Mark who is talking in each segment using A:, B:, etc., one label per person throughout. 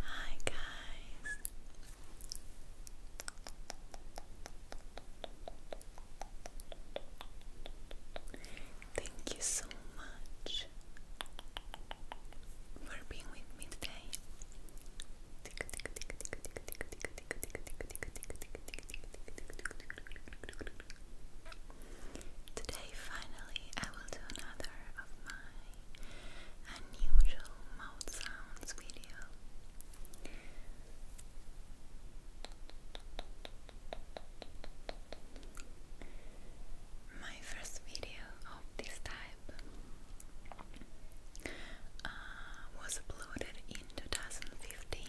A: Hi, guys. Thank you so much for being with me today. Today, finally, I
B: will do another of my unusual mouth sounds video. My first video of this type uh, was uploaded in 2015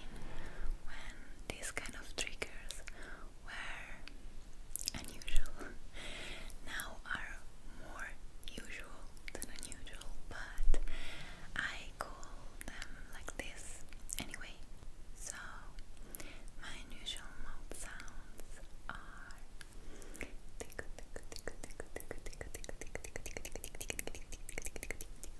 B: when these kind of triggers were unusual. now are more usual than unusual, but I call them like this anyway. So my unusual mouth sounds are tickle, tickle, tickle, tickle, tickle, tickle, tickle, tickle, tickle, tickle, tickle, tickle, tickle, tickle, tickle, tickle, tickle,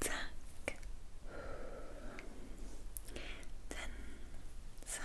B: Tack. Then some.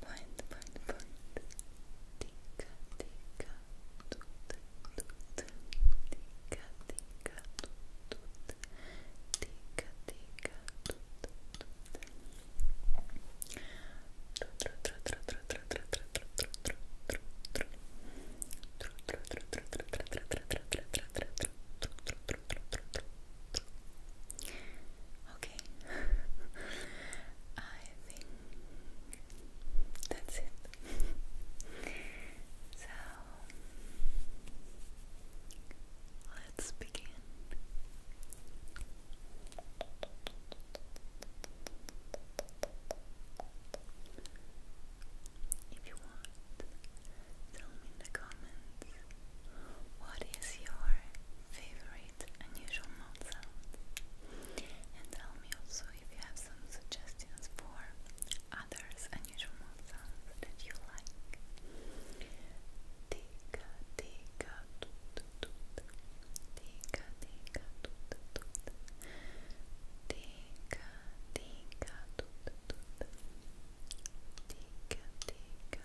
B: point, point, point. Tika, tika, tut, tut. Tika, tika, tut, tut. Tika, tika, tut, tut. Tika, tika, Okay. I think that's it. so let's begin. If you want, tell me in the comments what is your favorite unusual mouth sound? And tell me also if you have some suggestions for others unusual mouth sounds that you like. Tika, tika, toot, toot. Tika, tika, toot, toot. Tika, tika, toot, toot. Tika, tika,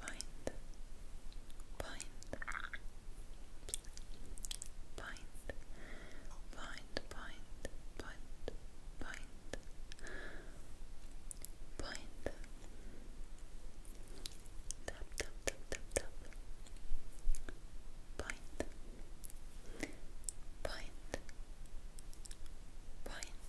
B: bind, bind, bind, bind, bind, bind, bind, tap, tap, tap, tap, tap, bind, bind,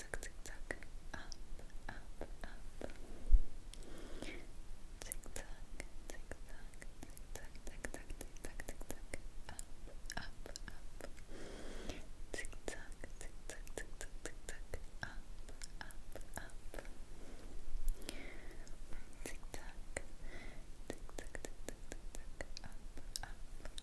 C: tuck, tuck, tuck, up, up, up, tick tock, tick tock, tick tock, tick tock, tick tock, tick tock, up, up, up, tick tock, tick tock, tick tock, tick tock, up, up, up, tick tock, tick tock, tick tock, tick tock, up, up,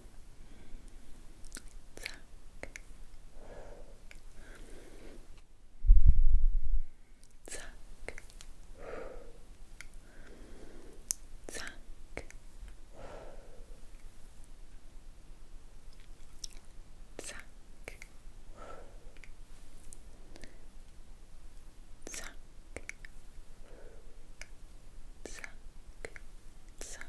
C: Zack. Zack. Zack. Zack. Zack. Zack. Zack.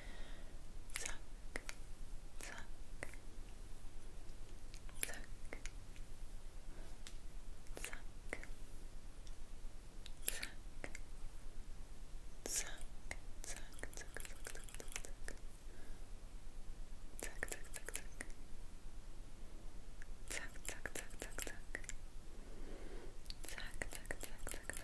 C: suck, suck, suck, suck, suck, suck, suck, suck, suck, suck, suck. Tuck, tuck, tuck, tuck. Tuck, tuck, tuck, tuck, tuck. Tuck, tuck, tuck, tuck,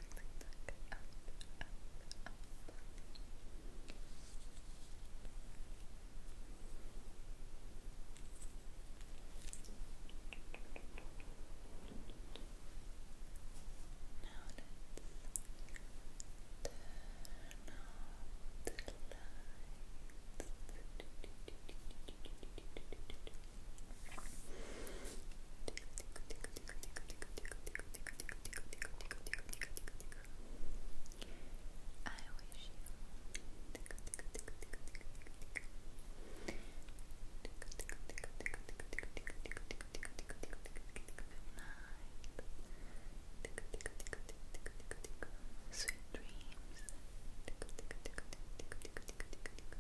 C: look, look, up, up, up. Now let's turn off the lights. I wish you Sweet dreams.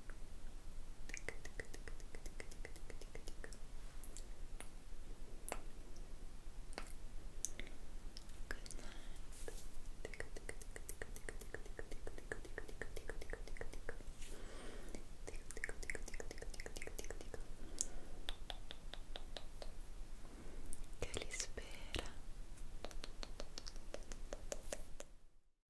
C: che li